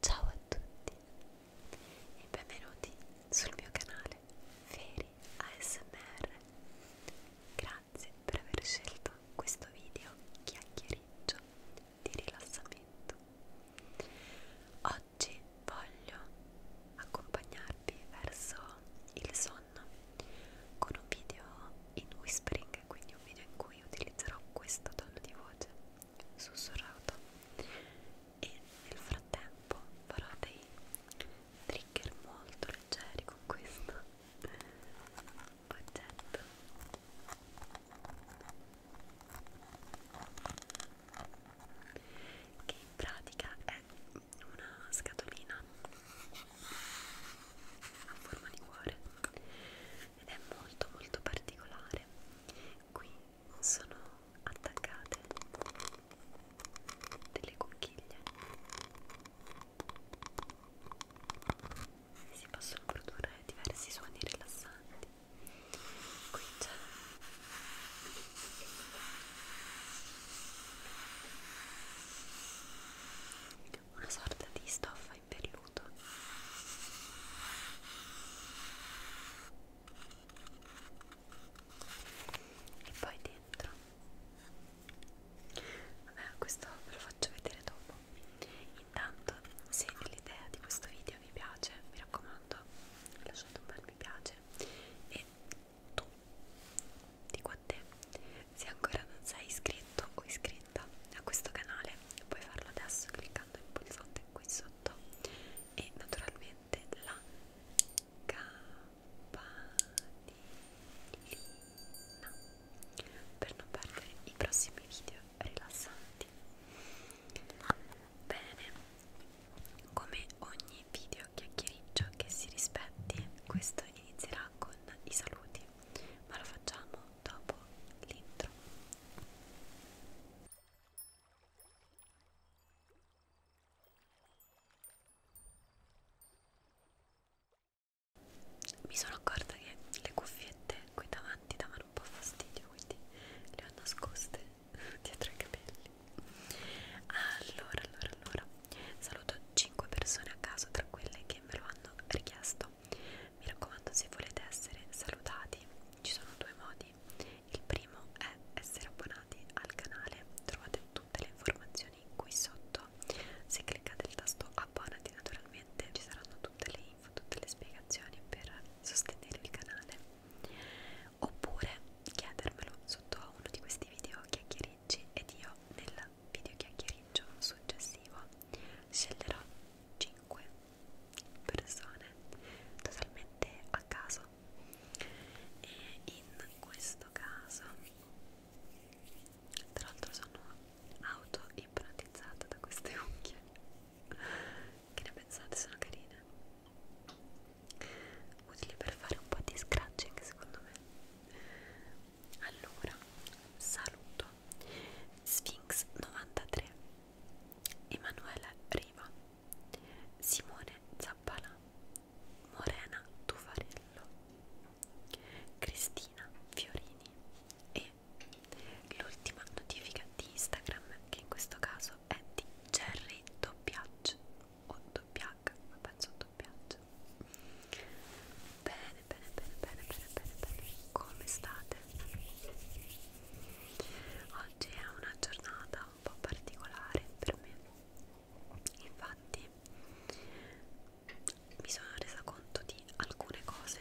Ciao a tutti e benvenuti sul mio canale Feri ASMR. Grazie per aver scelto questo video chiacchieriggio di rilassamento. Oggi voglio accompagnarvi verso il sonno con un video in whispering, quindi un video in cui utilizzerò questo tono di voce sussurrato e nel frattempo farò dei trigger molto leggeri con questo oggetto che in pratica è una scatolina a forma di cuore ed è molto molto particolare qui sono attaccate delle conchiglie si possono produrre diversi suoni rilassanti qui c'è una sorta di stoffa fai velluto e poi dentro vabbè questo ve lo faccio vedere dopo intanto se l'idea di questo video vi piace mi raccomando lasciate un bel mi piace e tu dico a te se ancora non sei iscritto o iscritto iscritta a questo canale puoi farlo adesso cliccando il pulsante qui sotto e naturalmente la campanellina per non perdere i prossimi video rilassanti bene come ogni video chiacchiericcio che si rispetti questo inizierà con i saluti ma lo facciamo dopo l'intro mi sono accorta che le cuffiette qui davanti davano un po' fastidio, quindi le ho nascoste dietro i capelli. Allora, allora, allora, saluto 5 persone a caso tra quelle che me lo hanno richiesto. Mi raccomando, se volete essere salutati, ci sono due modi. Il primo è essere abbonati al canale, trovate tutte le informazioni qui sotto. Se cliccate il tasto abbonati, naturalmente ci saranno tutte le info, tutte le spiegazioni per sostenere il canale. Oppure chiedermelo sotto a uno di questi video chiacchiericci ed io nel video chiacchieriggio successivo sceglierò 5 persone totalmente a caso e in questo caso tra l'altro sono auto ipnotizzata da queste unghie che ne pensate sono carine utili per fare un po' di scratching secondo me allora saluto Sphinx 93 Emanuela Riva, Simone Zappalà, Morena Tufarello, Cristina Fiorini e l'ultima notifica di Instagram che in questo caso è di Jerry Doppiaggio o Doppiac, penso Doppiaggio. Bene, bene, bene, bene, bene, bene, bene, bene. Come state? Oggi è una giornata un po' particolare per me. Infatti, mi sono resa conto di alcune cose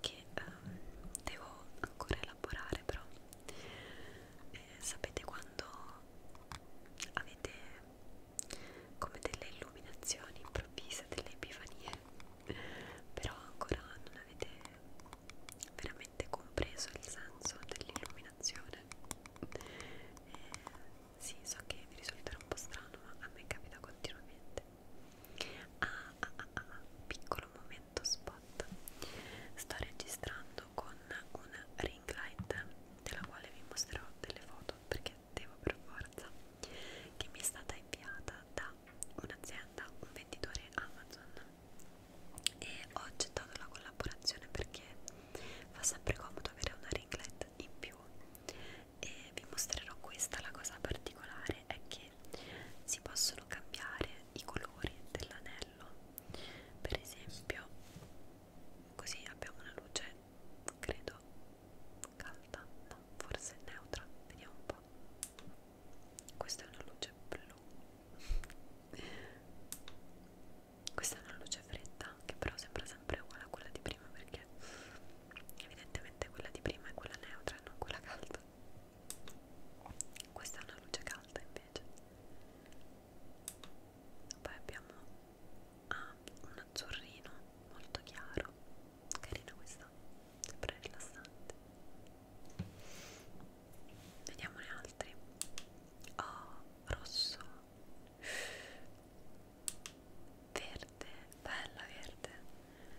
che ehm, devo ancora elaborare, però eh, sapete quando avete come delle illuminazioni improvvise, delle epifanie però ancora non avete veramente compreso il senso dell'illuminazione eh, sì so che vi risulterà un po' strano ma a me capita continuamente ah ah ah, ah, ah piccolo momento spot sto registrando con una ring light della quale vi mostrerò delle foto perché devo per forza che mi è stata inviata da un'azienda, un venditore Amazon e ho accettato la collaborazione perché fa sempre comodo avere una ringlet in più e vi mostrerò questa, la cosa particolare è che si possono cambiare i colori dell'anello per esempio così abbiamo una luce credo calda no forse neutra vediamo un po questa è una luce blu. Questa è una luce fredda che però sembra sempre uguale a quella di prima perché evidentemente quella di prima è quella neutra e non quella calda. Questa è una luce calda invece. Poi abbiamo ah, un azzurrino molto chiaro Carina questa, sempre rilassante. Vediamone altri. Oh, rosso. Verde, bella verde.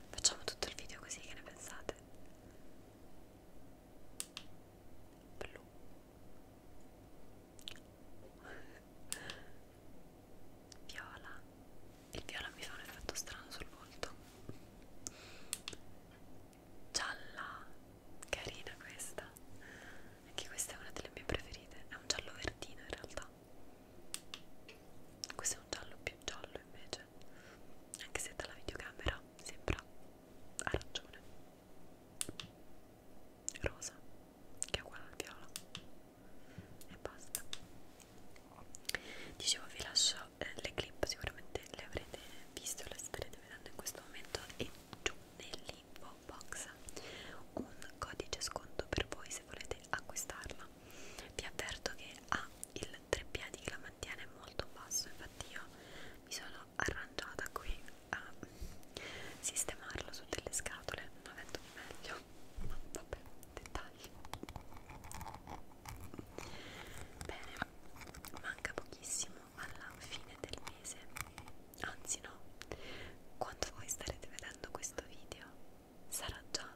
Facciamo tutto il video così, che ne pensate? Blu viola il viola mi fa un effetto strano sul volto gialla carina questa anche questa è una delle mie preferite è un giallo verdino in realtà questo è un giallo più giallo invece anche se dalla videocamera sembra arancione rosa che è uguale al viola e basta dicevo vi lascio eh, le clip sicuramente le avrete viste o le starete vedendo in questo momento e giù nell'info box un codice sconto per voi se volete acquistarla vi avverto che ha ah, il 3P di Clamantiana è molto basso infatti io mi sono arrangiata qui a sistemarlo su delle scatole non avendo di meglio vabbè, dettagli bene, manca pochissimo alla fine del mese anzi no quando voi starete vedendo questo video sarà già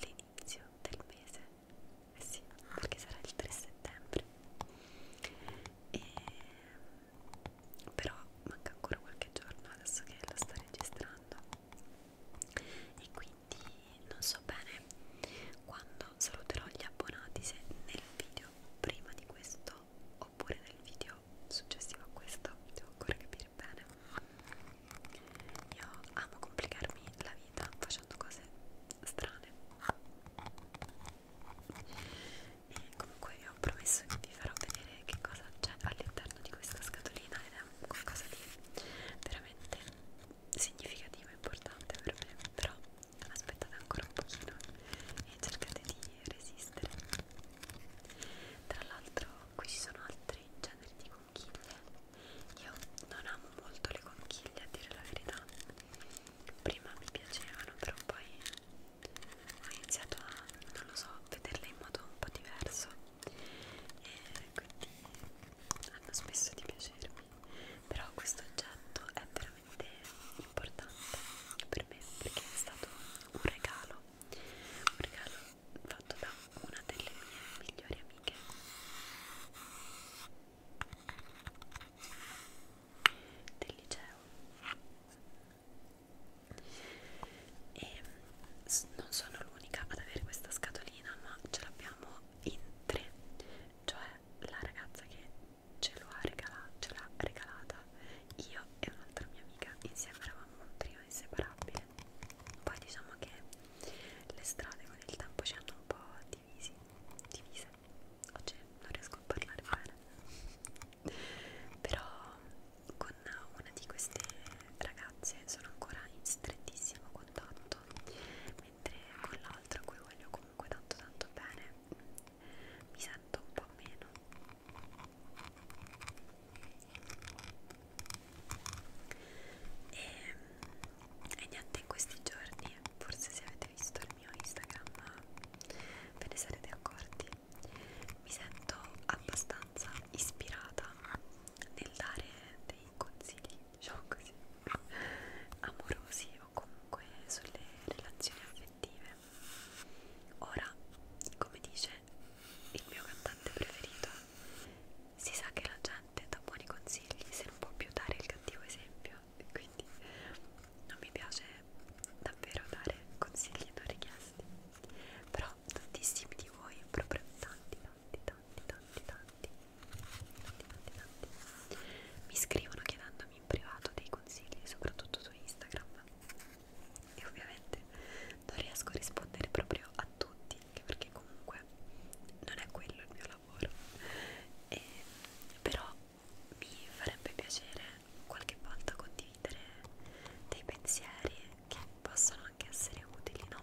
l'inizio del mese eh sì, perché sarà il 3 settembre e... però manca ancora qualche giorno adesso che la sto registrando e quindi quindi non so bene quando saluterò gli abbonati se nel video prima di questo oppure nel video successivo a questo devo ancora capire bene io amo complicarmi la vita facendo cose strane e comunque vi ho promesso che vi farò vedere che cosa c'è all'interno di questa scatolina ed è qualcosa di veramente significativo e importante per me però aspettate ancora un pochino e cercate di resistere tra l'altro qui ci sono altri generi di conchiglie io non amo molto le conchiglie a dire la verità prima mi piacevano però poi ho iniziato a non lo so vederle in modo un po' diverso e quindi hanno smesso di piacermi però questo oggetto è veramente importante per me perché è stato un regalo un regalo fatto da una delle mie migliori amiche del liceo e non sono l'unica ad avere questa scatolina ma ce l'abbiamo in tre cioè la ragazza che ce l'ha regalata, regalata io e un'altra mia amica insieme eravamo un trio inseparabile poi diciamo che le strade con il tempo ci hanno un po' divisi divise oggi non riesco a parlare bene però con una di queste ragazze sono ancora in strettissimo contatto mentre con l'altra a cui voglio comunque tanto tanto bene mi sento un po' meno e, e niente in questi giorni forse se avete visto il mio Instagram ve ne sarete accorti mi sento abbastanza ispirata nel dare dei consigli, diciamo così, amorosi o comunque sulle relazioni affettive. Ora, come dice il mio cantante preferito, si sa che la gente dà buoni consigli se non può più dare il cattivo esempio, quindi non mi piace davvero dare consigli non richiesti. Però da tantissimi di voi, proprio tanti, tanti, tanti, tanti, tanti, tanti, tanti, tanti. Mi scrivono chiedendomi in privato dei consigli, soprattutto su Instagram. E ovviamente non riesco a rispondere proprio a tutti, anche perché comunque non è quello il mio lavoro. E, però mi farebbe piacere qualche volta condividere dei pensieri che possono anche essere utili, no?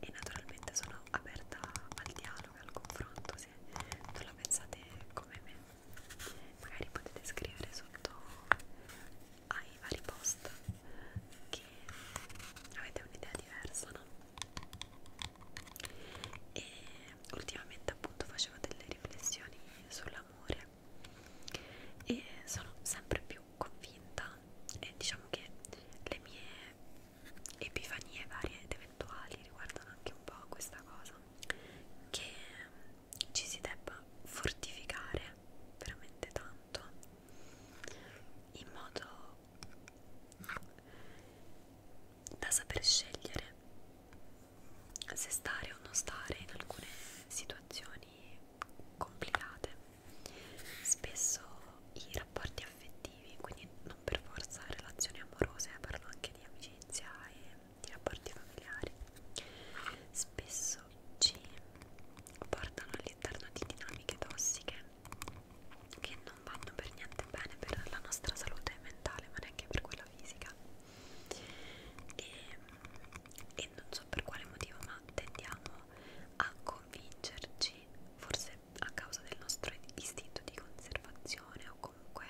E naturalmente sono aperta al dialogo, al confronto, se non la pensate come me. Magari potete scrivere sotto ai vari post che avete un'idea diversa, no? E ultimamente appunto facevo delle riflessioni sull'amore possibile e sono sempre più convinta e diciamo che le mie epifanie varie ed eventuali riguardano anche un po' questa cosa che ci si debba fortificare veramente tanto in modo da saper scegliere se stare o non stare in alcune situazioni complicate spesso i rapporti affettivi, quindi non per forza relazioni amorose, parlo anche di amicizia e di rapporti familiari, spesso ci portano all'interno di dinamiche tossiche che non vanno per niente bene per la nostra salute mentale, ma neanche per quella fisica. E, e non so per quale motivo ma tendiamo a convincerci forse a causa del nostro istinto di conservazione o comunque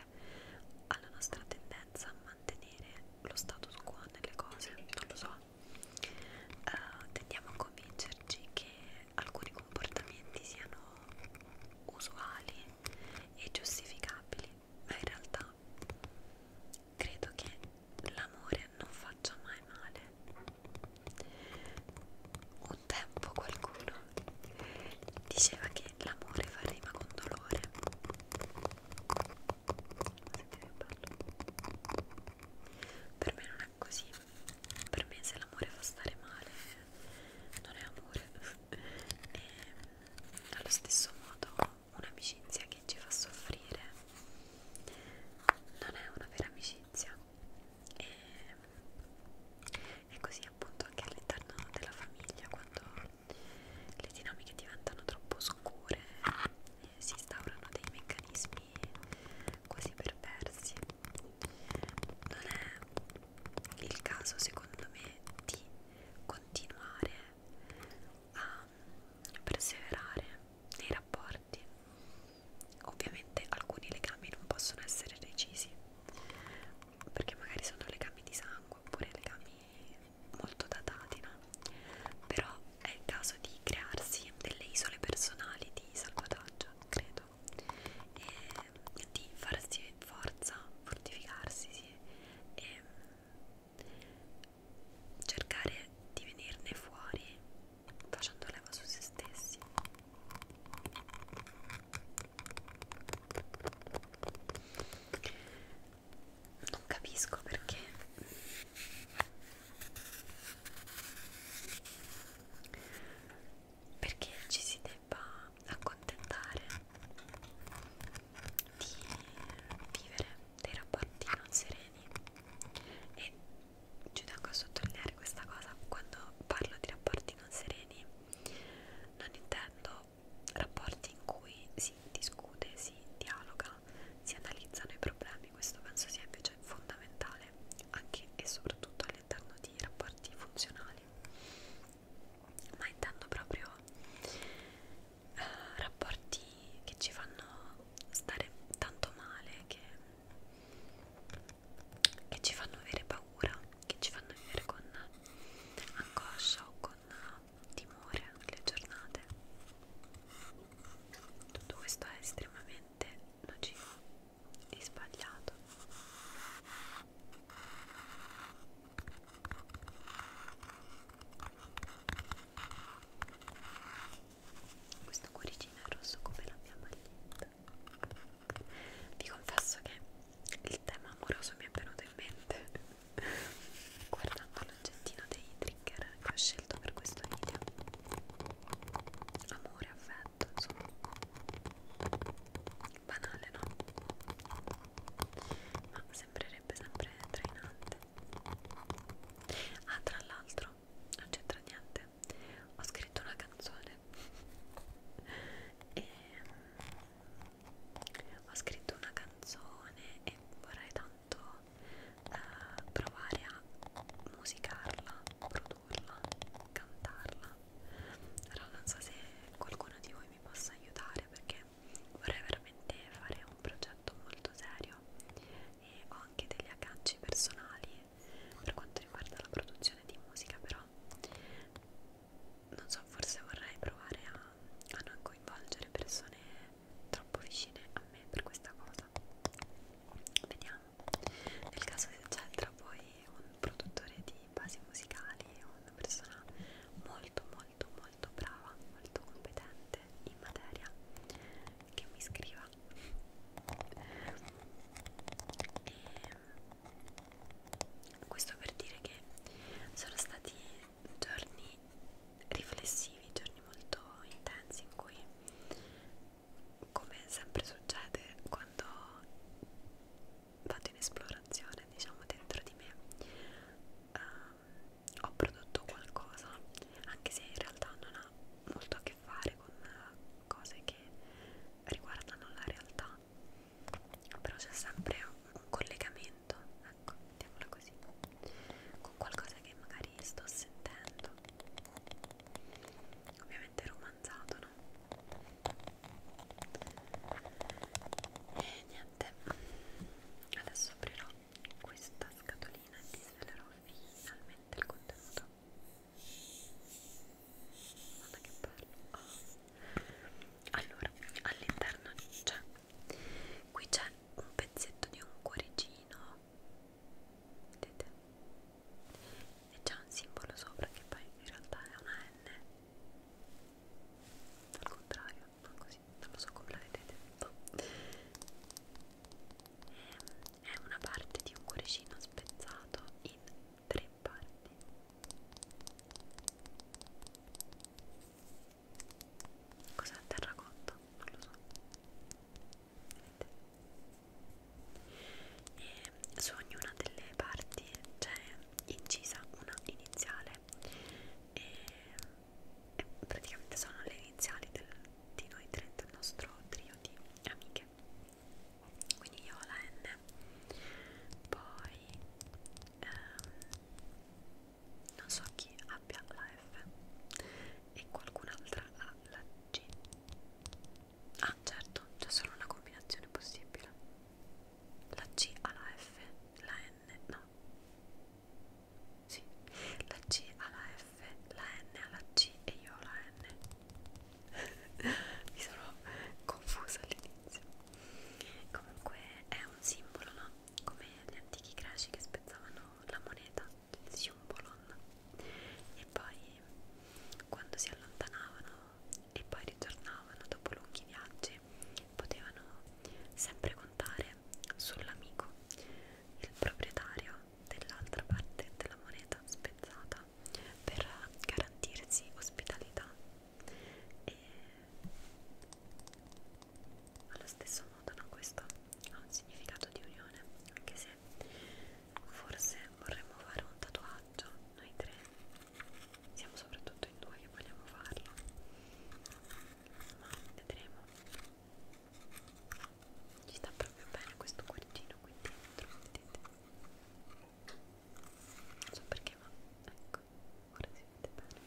alla nostra tendenza a mantenere lo status quo nelle cose non lo so uh, tendiamo a convincerci che alcuni comportamenti siano usuali e giustificabili ma in realtà realtà credo che l'amore non faccia mai male un tempo qualcuno diceva che l'amore fa rima con dolore per me non è così per me se l'amore fa stare male non è amore e allo stesso modo un'amicizia che ci fa soffrire non è una vera amicizia e, e così appunto anche all'interno della famiglia quando le dinamiche diventano troppo oscure eh, si instaurano dei meccanismi quasi perversi non è il caso secondo me di continuare a perseverare nei rapporti. Ovviamente alcuni legami non possono essere recisi, perché magari sono legami di sangue oppure legami molto datati, no? Però è il caso di crearsi delle isole personali di salvataggio, credo, e di farsi forza, fortificarsi sì, e cercare di venirne fuori facendo leva su se stessi non capisco perché perché ci si debba accontentare di vivere dei rapporti non sereni e ci tengo a sottolineare questa cosa quando parlo di rapporti non sereni non intendo rapporti in cui si discute, si dialoga, si analizzano i problemi questo penso sia invece fondamentale anche e soprattutto all'interno di rapporti funzionali ma intendo proprio eh, rapporti che ci fanno stare tanto male che, che ci fanno avere paura, che ci fanno vivere con angoscia o con timore le giornate. Tutto questo è estremamente nocivo e sbagliato questo cuoricino è rosso come la mia maglietta vi confesso che il tema amoroso mi è venuto in mente guardando l'oggettino dei trigger che ho scelto per questo video amore, affetto, insomma banale no? ma sembrerebbe sarebbe sempre trainante ah tra l'altro non c'entra niente ho scritto una canzone e mm, ho scritto una canzone e vorrei tanto eh, provare a musicarla, produrla, cantarla. Allora non so se qualcuno di voi mi possa aiutare perché vorrei veramente fare un progetto molto serio e ho anche degli agganci personali per quanto riguarda la produzione di musica però non so forse vorrei provare a, a non coinvolgere persone troppo vicine a me per questa cosa vediamo nel caso se c'è tra voi un produttore di basi musicali una persona molto molto molto molto brava, molto competente in materia che mi scriva e ehm, questo per dire che sono stati giorni riflessivi, giorni molto intensi in cui come sempre succede quando vado in esplorazione diciamo dentro di me um, ho prodotto qualcosa anche se in realtà non ha molto a che fare con eh, cose che riguardano la realtà però c'è sempre un collegamento ecco mettiamola così con qualcosa che magari sto sentendo ovviamente romanzato no e niente adesso aprirò questa scatolina e ti svelerò finalmente il contenuto guarda che bello oh. allora all'interno c'è cioè, qui c'è un pezzetto di un cuoricino vedete e c'è un simbolo sopra che poi in realtà è una N al contrario, ma così, non lo so come l'avete detto è una parte di un cuoricino spezzato in tre parti cos'è terracotta? non lo so e su ognuna delle parti c'è incisa una iniziale e eh, praticamente sono le iniziali del, di noi tre, del nostro trio di amiche quindi io ho la N poi ehm, non so chi abbia la F e qualcun'altra ha la G ah certo c'è solo una combinazione possibile la C alla F la N no sì, la C alla F, la N alla C e io alla N. Mi sono confusa all'inizio. Comunque è un simbolo, no? Come gli antichi greci che spezzavano la moneta, il simbolon. E poi quando si allontanavano e poi ritornavano dopo lunghi viaggi potevano sempre contare sull'amico il proprietario dell'altra parte della moneta spezzata per garantirsi ospitalità e allo stesso modo no, questo ha un significato di unione anche se forse vorremmo fare un tatuaggio noi tre siamo soprattutto in due che vogliamo farlo ma vedremo ci sta proprio bene questo cuoricino qui dentro vedete non so perché ma ecco ora si vede bene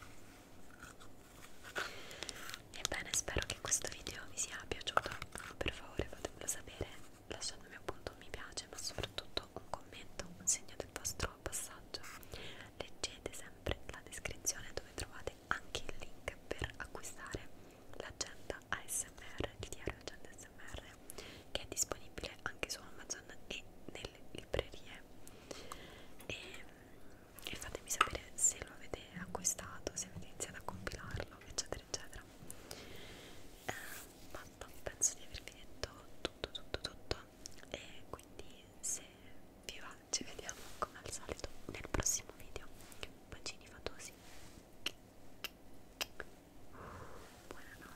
ebbene spero che questo video vi sia piaciuto per favore fatemelo sapere lasciatemi appunto un mi piace ma soprattutto un commento un segno del vostro passaggio leggete sempre la descrizione dove trovate trovate anche il link per acquistare l'agenda ASMR, il diario agenda ASMR che è disponibile anche su Amazon e nelle librerie e, e fatemi sapere se lo avete acquistato, se avete iniziato a compilarlo eccetera eccetera eh, basta, penso di avervi detto tutto tutto tutto e quindi se vi va ci vediamo come al solito nel prossimo video bacini fatosi buonanotte